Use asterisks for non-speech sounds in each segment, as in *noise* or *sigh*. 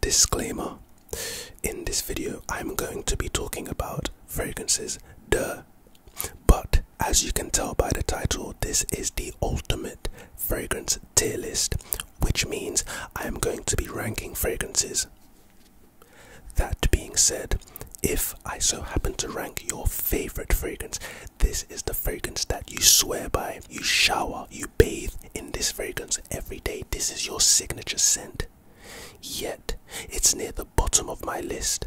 Disclaimer In this video, I'm going to be talking about fragrances, duh. But as you can tell by the title, this is the ultimate fragrance tier list, which means I am going to be ranking fragrances. That being said, if I so happen to rank your favorite fragrance, this is the fragrance that you swear by. You shower, you bathe in this fragrance every day. This is your signature scent. Yet, it's near the bottom of my list.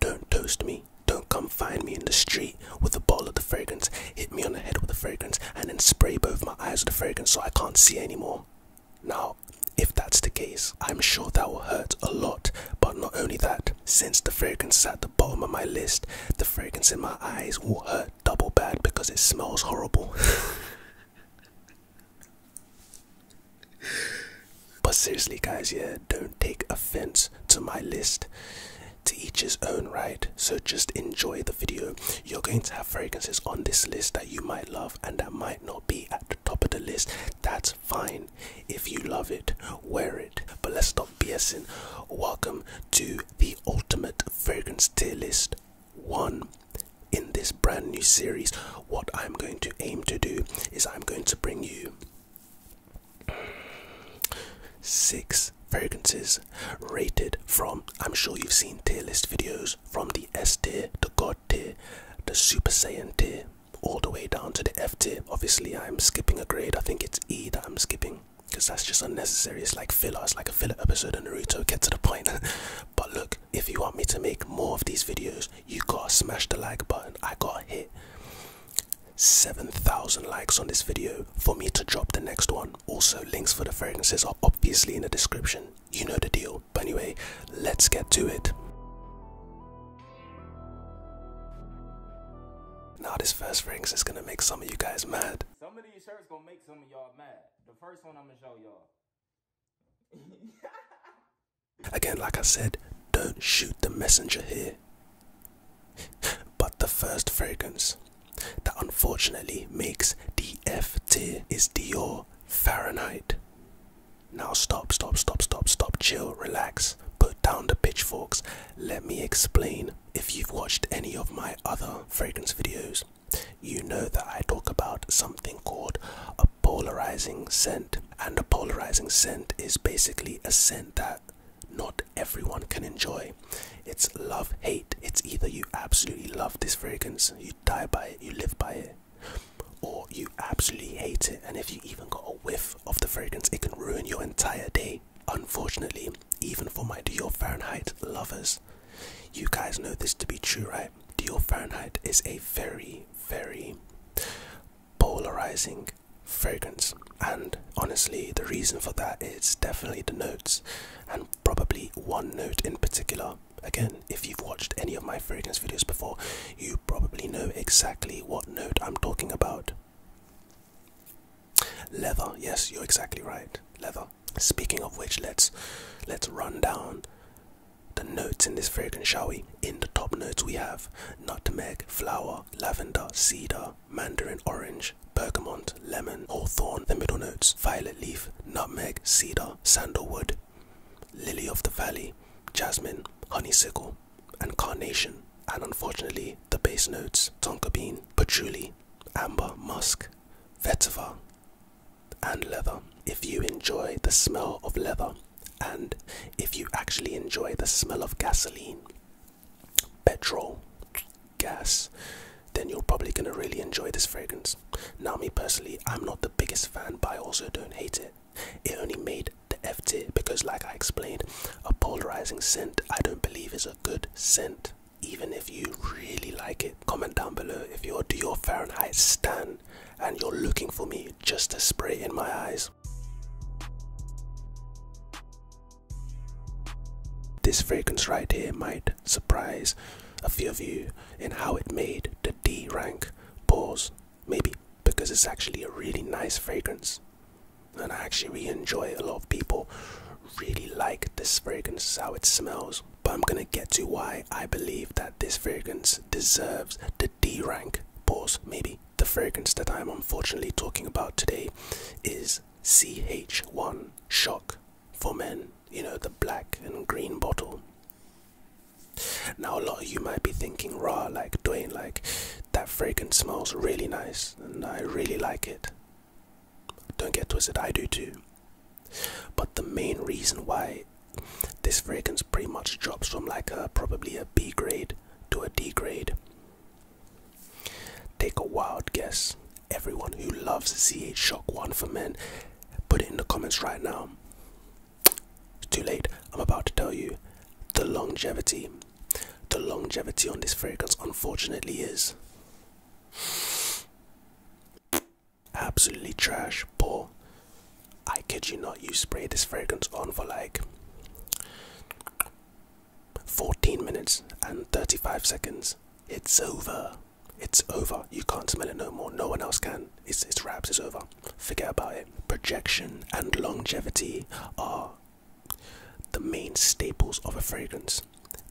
Don't toast me. Don't come find me in the street with a bottle of the fragrance, hit me on the head with the fragrance, and then spray both my eyes with the fragrance so I can't see anymore. Now, if that's the case, I'm sure that will hurt a lot, but not only that, since the fragrance sat bottom of my list. The fragrance in my eyes will hurt double bad because it smells horrible. but seriously, guys, yeah, don't take offense to my list. To each his own, right? So just enjoy the video. You're going to have fragrances on this list that you might love and that might not be at the top of the list. That's fine. If you love it, wear it. But let's stop BSing. Welcome to the ultimate fragrance tier list one in this brand new series. What I'm going to aim to do is I'm going to bring you six fragrances rated from I'm sure you've seen tier list videos from the S tier, the God tier, the Super Saiyan tier all the way down to the F tier. Obviously, I'm skipping a grade. I think it's E that I'm skipping because that's just unnecessary. It's like filler, it's like a filler episode of Naruto. Get to the point. *laughs* but look, if you want me to make more of these videos, you gotta smash the like button. I gotta hit 7,000 likes on this video for me to drop the next one. Also, links for the fragrances are obviously in the description. You know the deal. But anyway, let's get to it. Now this first fragrance is gonna make some of you guys mad. Some of these shirts gonna make some of y'all mad. The first one I'm gonna show y'all. *laughs* Again, like I said, don't shoot the messenger here. but the first fragrance that unfortunately makes the F tier is Dior Fahrenheit. Now stop, stop, stop, stop, stop, chill, relax, put down the pitchforks. Let me explain if you've watched any of my other fragrance videos, you know that I talk about something called a polarizing scent. And a polarizing scent is basically a scent that not everyone can enjoy. It's love hate. It's either you absolutely love this fragrance, you die by it, you live by it, or you absolutely hate it. And if you even got a whiff of the fragrance, it can ruin your entire day. Unfortunately, even for my dear Fahrenheit lovers, you guys know this to be true, right? Dear Fahrenheit is a very, very polarizing fragrance, and honestly, the reason for that is definitely the notes, and probably one note in particular. Again, if you've watched any of my fragrance videos before, you probably know exactly what note I'm talking about. Leather, yes, you're exactly right. Leather. Speaking of which, let's let's run down the notes in this fragrance, shall we? In the top notes we have nutmeg, flower, lavender, cedar, mandarin orange, bergamot, lemon, hawthorn, the middle notes, violet leaf, nutmeg, cedar, sandalwood, lily of the valley, jasmine, honeysuckle, and carnation. And unfortunately, the base notes, tonka bean, patchouli, amber musk, vetiver, and leather. If you enjoy the smell of leather, and if you actually enjoy the smell of gasoline, petrol, gas, then you're probably gonna really enjoy this fragrance. Now, me personally, I'm not the biggest fan, but I also don't hate it. It only made the FT because, like I explained, a polarizing scent I don't believe is a good scent even if you really like it. Comment down below if you're a Dior Fahrenheit stan and you're looking for me just to spray in my eyes. This fragrance right here might surprise a few of you in how it made the D rank pause. Maybe because it's actually a really nice fragrance and I actually really enjoy it. A lot of people really like this fragrance, how it smells. But I'm gonna get to why I believe that this fragrance deserves the D rank. Pause, maybe. The fragrance that I'm unfortunately talking about today is CH1 Shock for Men, you know, the black and green bottle. Now, a lot of you might be thinking, raw, like Dwayne, like that fragrance smells really nice and I really like it. Don't get twisted, I do too. But the main reason why this fragrance pretty much drops from like probably a B grade to a D grade. Take a wild guess. Everyone who loves CH Shock 1 for men, put it in the comments right now. It's too late. I'm about to tell you the longevity the longevity on this fragrance, unfortunately, is absolutely trash. Poor. I kid you not, you spray this fragrance on for like 14 minutes and 35 seconds. It's over. It's over. You can't smell it no more. No one else can. It's, it's wraps. It's over. Forget about it. Projection and longevity are the main staples of a fragrance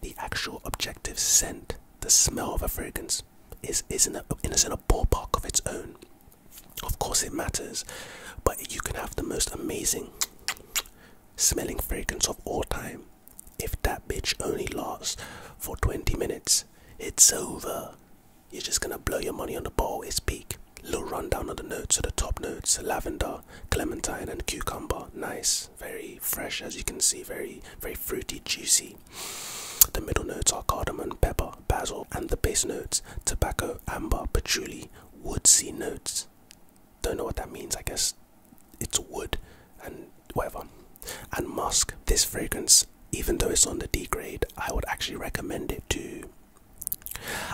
the actual objective scent the smell of a fragrance is is in a, is in a ballpark of its own of course it matters but you can have the most amazing smelling fragrance of all time if that bitch only lasts for 20 minutes it's over you're just gonna blow your money on the ball it's peak little rundown of the notes so the top notes lavender clementine and cucumber nice very fresh, as you can see, very, very fruity, juicy. The middle notes are cardamom, pepper, basil, and the base notes tobacco, amber, patchouli, woodsy notes. Don't know what that means, I guess it's wood and whatever. And musk. This fragrance, even though it's on the D grade, I would actually recommend it to.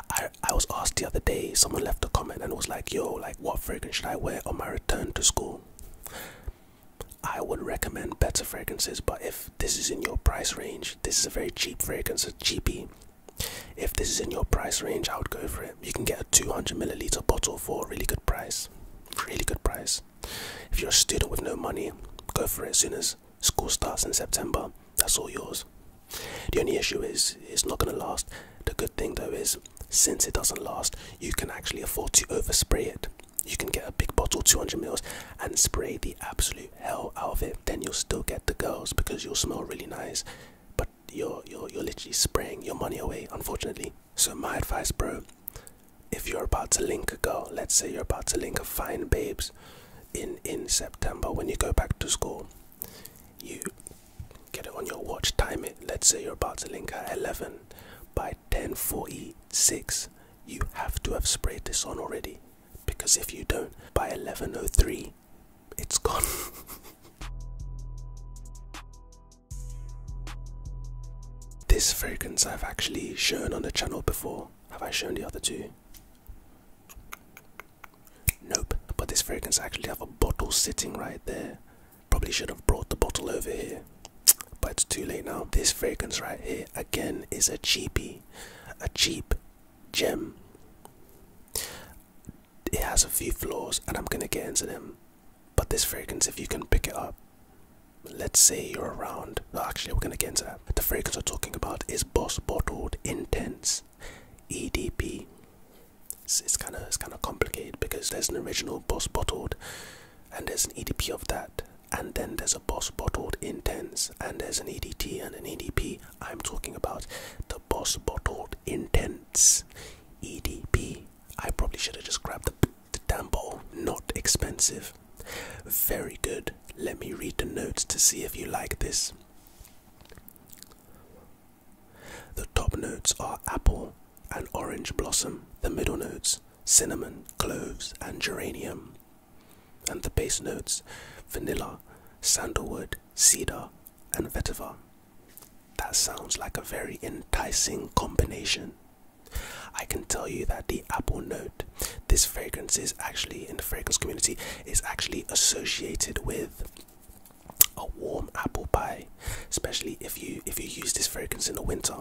I, I was asked the other day, someone left a comment and was like, yo, like, what fragrance should I wear on my return to school? I would recommend better fragrances, but if this is in your price range, this is a very cheap fragrance, a cheapie. If this is in your price range, I would go for it. You can get a 200 milliliter bottle for a really good price. Really good price. If you're a student with no money, go for it as soon as school starts in September. That's all yours. The only issue is it's not going to last. The good thing though is since it doesn't last you can actually afford to overspray it you can get a big bottle 200 mils and spray the absolute hell out of it then you'll still get the girls because you'll smell really nice but you're you're, you're literally spraying your money away unfortunately so my advice bro if you're about to link a girl let's say you're about to link a fine babes in in september when you go back to school you Get it on your watch, time it. Let's say you're about to link at 11. By 10:46, you have to have sprayed this on already, because if you don't, by 11:03, it's gone. *laughs* this fragrance I've actually shown on the channel before. Have I shown the other two? Nope. But this fragrance actually have a bottle sitting right there Probably should have brought the bottle over here, but it's too late now. This fragrance right here, again, is a cheapy, a cheap gem. It has a few flaws, and I'm gonna get into them. But this fragrance, if you can pick it up, let's say you're around. actually, we're gonna get into that. The fragrance we're talking about is Boss Bottled Intense EDP. It's, kind of it's kind of complicated because there's an original boss bottled, and there's an EDT of that, and then there's a boss bottled intense, and there's an EDT and an EDT. I'm talking about the boss bottled intense EDT. I probably should have just grabbed the, the damn bottle. Not expensive. Very good. Let me read the notes to see if you like this. The top notes are apple and orange blossom, the middle notes, cinnamon, cloves, and geranium, and the base notes, vanilla, sandalwood, cedar, and vetiver. That sounds like a very enticing combination. I can tell you that the apple note, this fragrance is actually in the fragrance community, is actually associated with a warm apple pie, especially if you if you use this fragrance in the winter.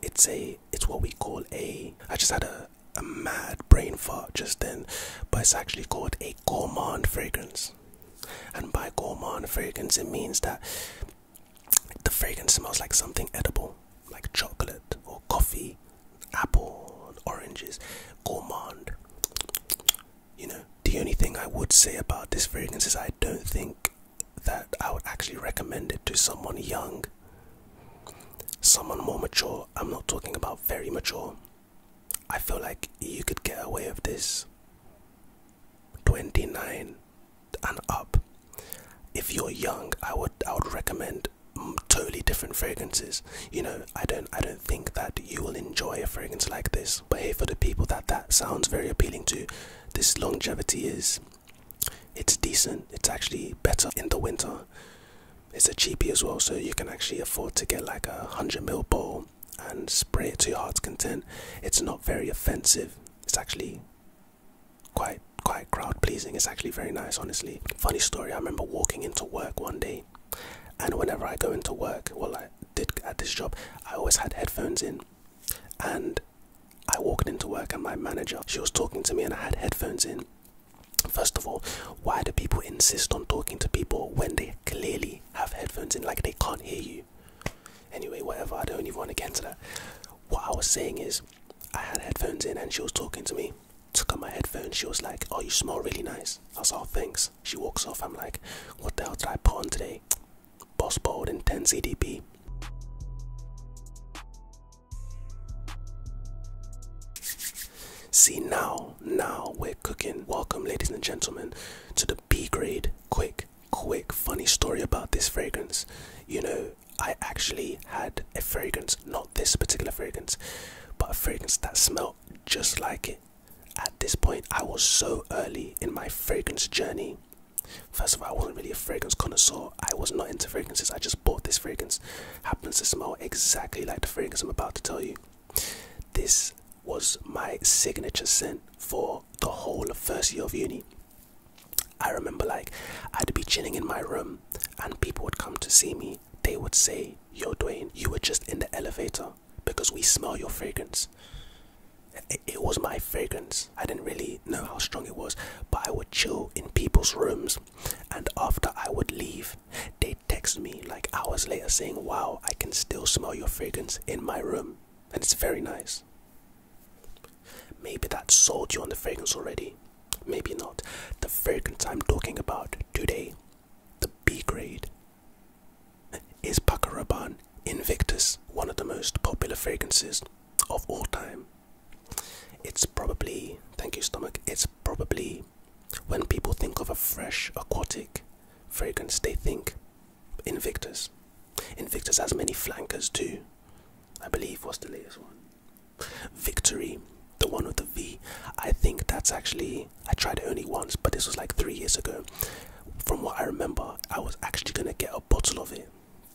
It's a it's what we call a. I just had a a mad brain fart just then, but it's actually called a gourmand fragrance. And by gourmand fragrance, it means that the fragrance smells like something edible, like chocolate or coffee, apple, oranges. Gourmand. You know, the only thing I would say about this fragrance is I don't think that I would actually recommend it to someone young. Someone more mature, I'm not talking about very mature. I feel like you could get away with this. 29 and up. If you're young, I would I would recommend totally different fragrances. You know, I don't I don't think that you will enjoy a fragrance like this. But hey, for the people that that sounds very appealing to, this longevity is it's decent. It's actually better in the winter. It's a cheapie as well, so you can actually afford to get like a hundred ml bottle and spray it to your heart's content. It's not very offensive. It's actually quite quite crowd pleasing. It's actually very nice, honestly. Funny story. I remember walking into work one day, and whenever I go into work, well, did at this job, I always had headphones in, and I walked into work and my manager, she was talking to me, and I had headphones in. First of all, why do people insist on talking to people when they clearly have headphones in, like they can't hear you? Anyway, whatever. I don't even want to get into that. What I was saying is, I had headphones in, and she was talking to me. Took off my headphones. She was like, "Oh, you smell really nice." I was like, oh, "Thanks." She walks off. I'm like, "What the hell did I put on today?" Boss Bold and 10 CDP. See now, now we're cooking. Welcome, ladies and gentlemen, to the B grade. Quick, quick, funny story about this fragrance. You know, I actually had a fragrance, not this particular fragrance, but a fragrance that smelled just like it. At this point, I was so early in my fragrance journey. First of all, I wasn't really a fragrance connoisseur. I was not into fragrances. I just bought this fragrance. Happens to smell exactly like the fragrance I'm about to tell you. This was my signature scent for the whole first year of uni. I remember like I'd be chilling in my room and people would come to see me. They would say, Yo, Dwayne, you were just in the elevator because we smell your fragrance. It, was my fragrance. I didn't really know how strong it was, but I would chill in people's rooms, and after I would leave, they text me like hours later saying, Wow, I can still smell your fragrance in my room, and it's very nice. Maybe that sold you on the fragrance already. Maybe not. The fragrance I'm talking about today, the B grade is Bacaraban Invictus one of the most popular fragrances of all time? It's probably, thank you, stomach, it's probably when people think of a fresh aquatic fragrance, they think Invictus. Invictus has many flankers too. I believe was the latest one. Victory, the one with the V. I think that's actually I tried only once, but this was like three years ago. From what I remember, I was actually gonna get a bottle of it.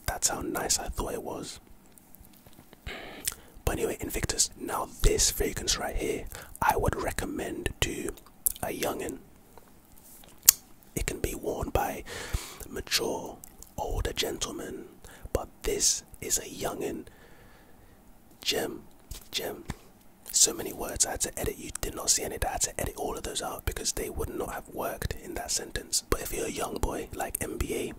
That's how nice I thought it was. But anyway, Invictus. Now this fragrance right here, I would recommend to a youngin. It can be worn by mature, older gentlemen, but this is a youngin. Gem, gem. So many words I had to edit. You did not see any that edit all of those out because they would not have worked in that sentence. But if you're a young boy like MBA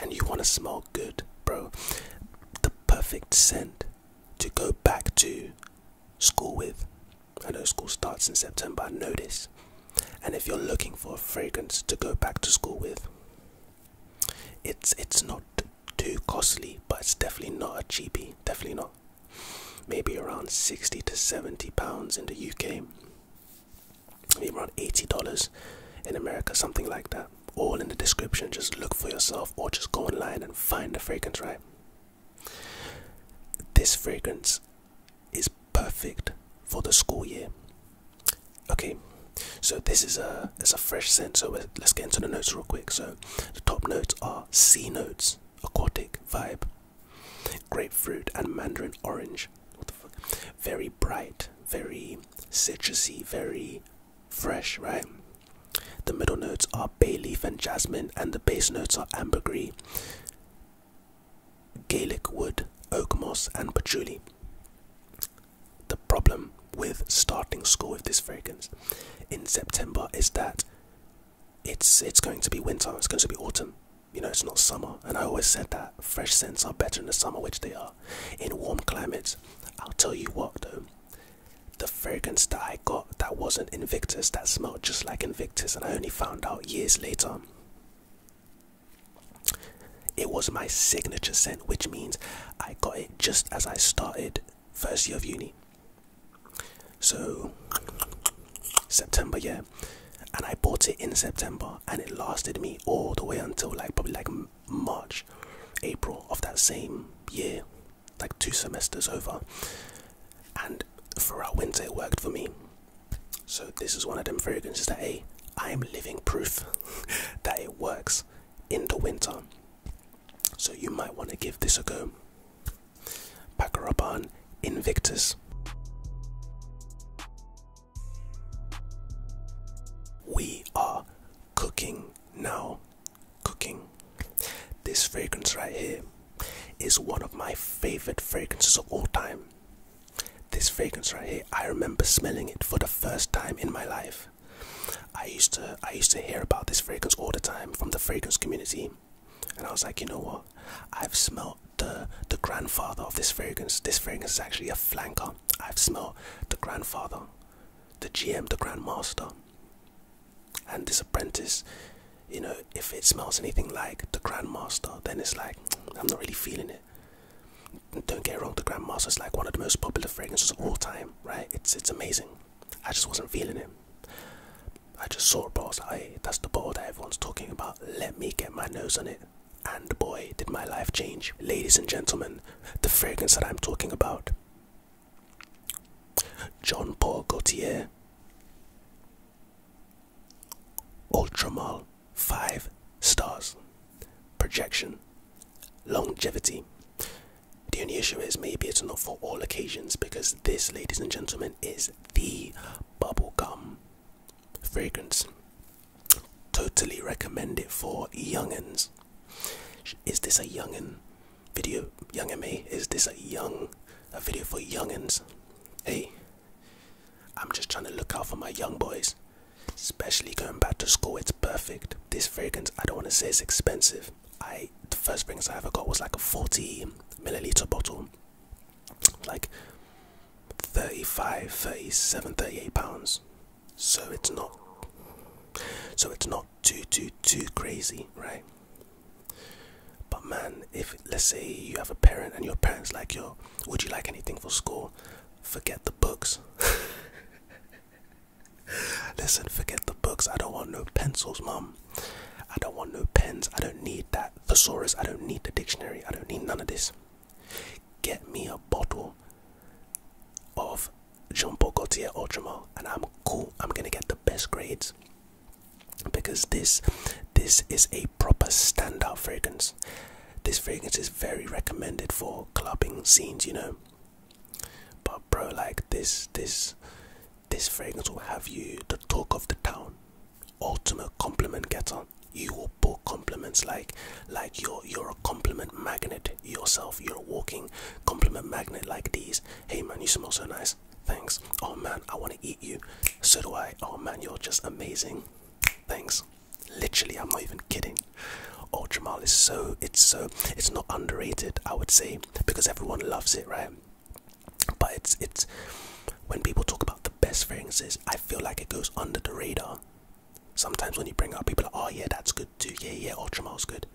and you want to smell good, bro, the perfect scent to go back to school with. I know school starts in September, I know this. And if you're looking for a fragrance to go back to school with, it's it's not too costly, but it's definitely not a cheapie. Definitely not maybe around 60 to 70 pounds in the UK, maybe around 80 dollars in America, something like that. All in the description, just look for yourself or just go online and find the fragrance, right? This fragrance is perfect for the school year. Okay, so this is a it's a fresh scent. So let's get into the notes real quick. So the top notes are C notes, aquatic vibe, grapefruit and mandarin orange. Very bright, very citrusy, very fresh, right? The middle notes are bay leaf and jasmine, and the base notes are ambergris, Gaelic wood, oak moss, and patchouli. The problem with starting school with this fragrance in September is that it's it's going to be winter. It's going to be autumn. You know, it's not summer. And I always said that fresh scents are better in the summer, which they are. In warm climates, I'll tell you what though. The fragrance that I got that wasn't Invictus, that smelled just like Invictus, and I only found out years later. It was my signature scent, which means I got it just as I started first year of uni. So September, yeah, and I bought it in September, and it lasted me all the way until like probably like March, April of that same year, like two semesters over, and for our winter it worked for me. So this is one of them fragrances that hey, I am living proof *laughs* that it works in the winter. So you might want to give this a go. Pack up on Invictus. We are cooking now. Cooking. This fragrance right here is one of my favorite fragrances of all time. This fragrance right here, I remember smelling it for the first time in my life. I used to I used to hear about this fragrance all the time from the fragrance community and I was like, you know what? I've smelled the the grandfather of this fragrance. This fragrance is actually a flanker. I've smelled the grandfather, the GM, the grandmaster, and this apprentice. You know, if it smells anything like the grandmaster, then it's like *tsk* I'm not really feeling it. Don't get wrong, the grandmaster is like one of the most popular fragrances of all time, right? It's it's amazing. I just wasn't feeling it. I just saw a ball. So, that's the ball that everyone's talking about. Let me get my nose on it. And boy, did my life change. Ladies and gentlemen, the fragrance that I'm talking about. John Paul Gaultier Ultramal 5 stars projection longevity the only issue is maybe it's not for all occasions because this ladies and gentlemen is the Bubble gum, fragrance. Totally recommend it for youngins. Is this a youngin video? Young me? Is this a young a video for youngins? Hey, I'm just trying to look out for my young boys. Especially going back to school, it's perfect. This fragrance, I don't want to say it's expensive. I the first fragrance I ever got was like a 40 milliliter bottle like 35 37 38 pounds so it's not so it's not too too too crazy right but man if let's say you have a parent and your parents like your, would you like anything for school forget the books *laughs* listen forget the books i don't want no pencils mum I don't want no pens. I don't need that thesaurus. I don't need the dictionary. I don't need none of this. Get me a bottle of Jean Paul Gaultier Ultramar, and I'm cool. I'm gonna get the best grades because this this is a proper standout fragrance. This fragrance is very recommended for clubbing scenes, you know. But bro, like this this this fragrance will have you the talk of the town ultimate compliment getter you will book compliments like like you're you're a compliment magnet yourself you're a walking compliment magnet like these hey man you smell so nice thanks oh man i want to eat you so do i oh man you're just amazing thanks literally i'm not even kidding oh is so it's so it's not underrated i would say because everyone loves it right but it's it's when people talk about the best fragrances, I feel like it goes under the radar. Sometimes when you bring up people oh yeah, that's good too. Yeah, yeah, Ultramar's good.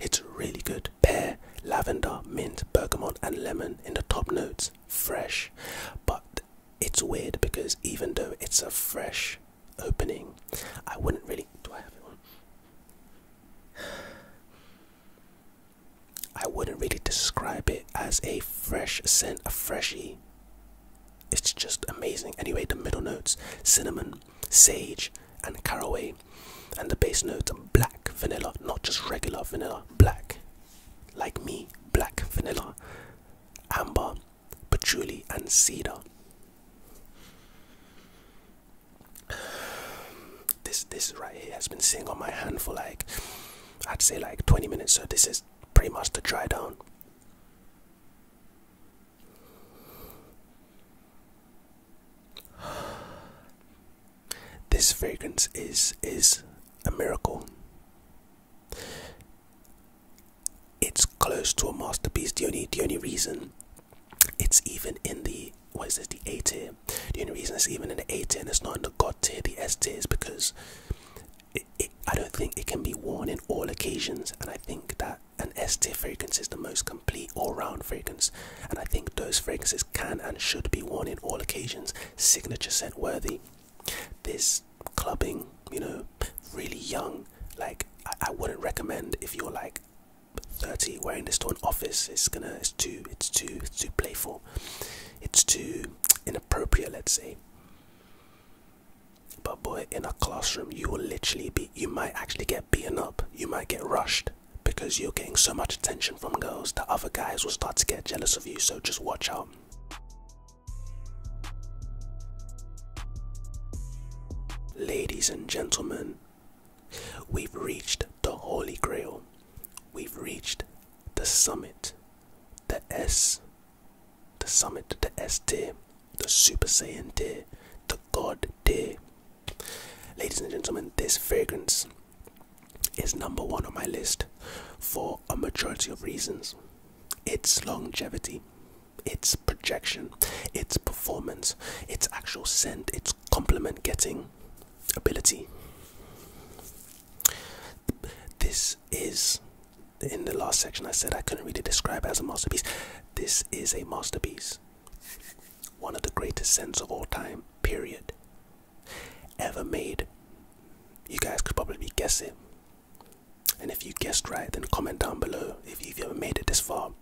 It's really good. Pear, lavender, mint, bergamot, and lemon in the top notes. Fresh. But it's weird because even though it's a fresh opening, I wouldn't really I wouldn't really describe it as a fresh scent, a freshy. It's just amazing. Anyway, the middle notes cinnamon, sage, and caraway, and the base notes black vanilla, not just regular vanilla, black, like me, black vanilla, amber, patchouli, and cedar. This this right here has been sitting on my hand for like I'd say like 20 minutes. So this is pretty much the dry down. This fragrance is is a miracle. It's close to a masterpiece. The only the only reason it's even in the what is this the eighty? The only reason it's even in the eighty and it's not in the God tier, the S tier is because I don't think it can be worn in all occasions, and I think that an S fragrance is the most complete all round fragrance, and I think those fragrances can and should be worn in all occasions, signature scent worthy. This clubbing, you know, really young, like I, I wouldn't recommend if you're like 30 wearing this to an office. It's gonna, it's too, it's too, it's too playful. It's too inappropriate, let's say. But boy, in a classroom, you will literally be, you might actually get beaten up. You might get rushed because you're getting so much attention from girls that other guys will start to get jealous of you. So just watch out. Ladies and gentlemen, we've reached the Holy Grail. We've reached the summit the S, the summit, the S the Super Saiyan tier, the God tier. Ladies and gentlemen, this fragrance is number one on my list for a majority of reasons its longevity, its projection, its performance, its actual scent, its compliment getting ability. This is in the last section. I said I couldn't really describe it as a masterpiece. This is a masterpiece, one of the greatest scents of all time. Period. Ever made. You guys could probably guess it. And if you guessed right, then comment down below if you've ever made it this far.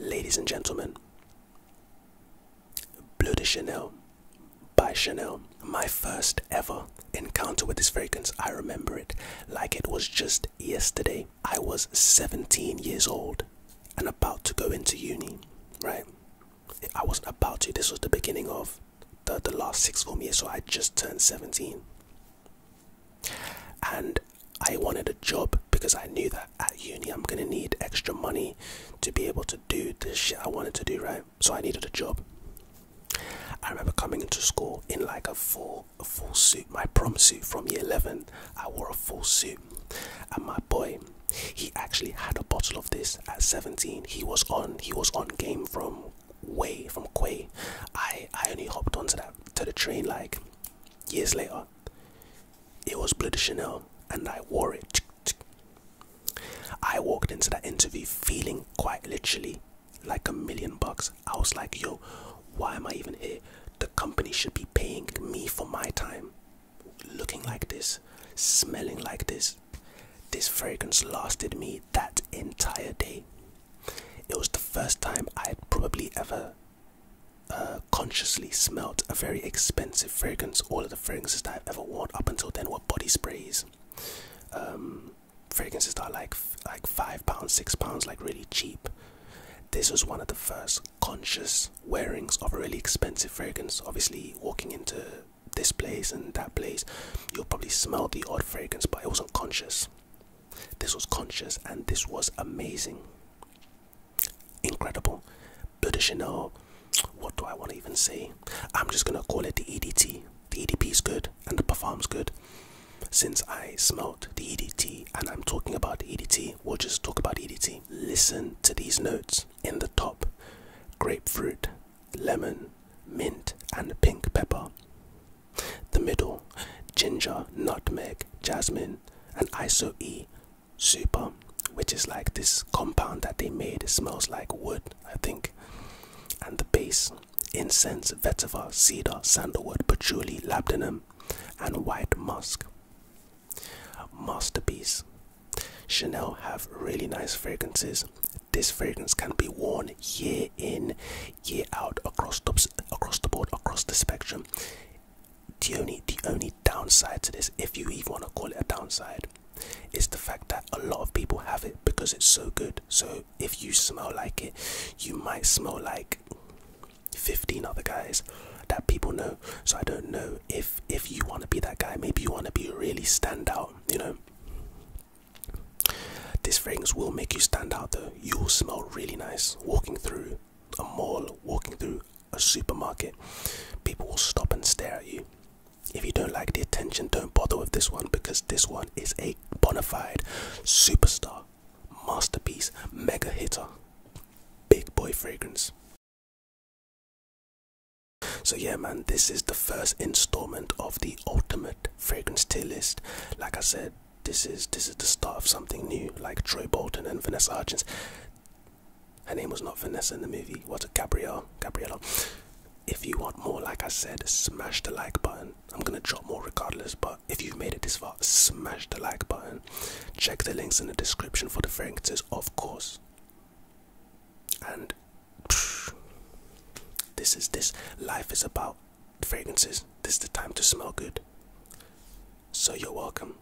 Ladies and gentlemen, Bleu de Chanel by Chanel. My first ever encounter with this fragrance. I remember it like it was just yesterday. I was 17 years old and about to go into uni, right? I wasn't about to. This was the beginning of the, the last six form year, so I just turned 17. And I wanted a job because I knew that at uni I'm going to need extra money to be able to do the shit I wanted to do, right? So I needed a job. I remember coming into school in like a full, full suit, my prom suit from year 11. I wore a full suit, and my boy, he actually had a bottle of this at 17. He was on, he was on game from way from Quay. I I only hopped onto that to the train like years later. It was Bleu de Chanel, and I wore it. I walked into that interview feeling quite literally like a million bucks. I was like, yo, why am I even here? The company should be paying me for my time. Looking like this, smelling like this. This fragrance lasted me that entire day. It was the first time I had probably ever uh, consciously smelled a very expensive fragrance. All of the fragrances that I've ever worn up until then were body sprays. Um, fragrances that are like like five pounds, six pounds, like really cheap. This was one of the first conscious wearings of a really expensive fragrance. Obviously, walking into this place and that place, you'll probably smell the odd fragrance, but it wasn't conscious. This was conscious, and this was amazing, incredible. But de Chanel what do I want to even say? I'm just gonna call it the EDT. The EDP is good and it perform's good. Since I smelt the EDT and I'm talking about the EDT, we'll just talk about EDT. Listen to these notes in the top grapefruit, lemon, mint, and pink pepper. The middle ginger, nutmeg, jasmine, and ISO E super um, which is like this compound that they made. It smells like wood, I think. And the base incense, vetiver, cedar, sandalwood, patchouli, labdanum, and white musk. Masterpiece. Chanel have really nice fragrances. This fragrance can be worn year in, year out, across the, across the board, across the spectrum. The only, the only downside to this, if you even want to call it a downside, it's the fact that a lot of people have it because it's so good. So if you smell like it, you might smell like 15 other guys that people know. So I don't know if if you want to be that guy, maybe you want to be really stand out, you know. this fragrance will make you stand out though. You'll smell really nice walking through a mall, walking through a supermarket. People will stop and stare at you. If you don't like the attention, don't bother with this one because this one is a bona fide superstar, masterpiece, mega hitter, big boy fragrance. So, yeah, man, this is the first installment of the ultimate fragrance tier list. Like I said, this is this is the start of something new, like Troy Bolton and Vanessa Hudgens. Her name was not Vanessa in the movie. Was a Gabrielle? Gabriella. If you want more, like I said, smash the like button. I'm gonna drop more regardless, but if you've made it this far, smash the like button. Check the links in the description for the fragrances, of course. And this is this life is about fragrances. This is the time to smell good. So you're welcome.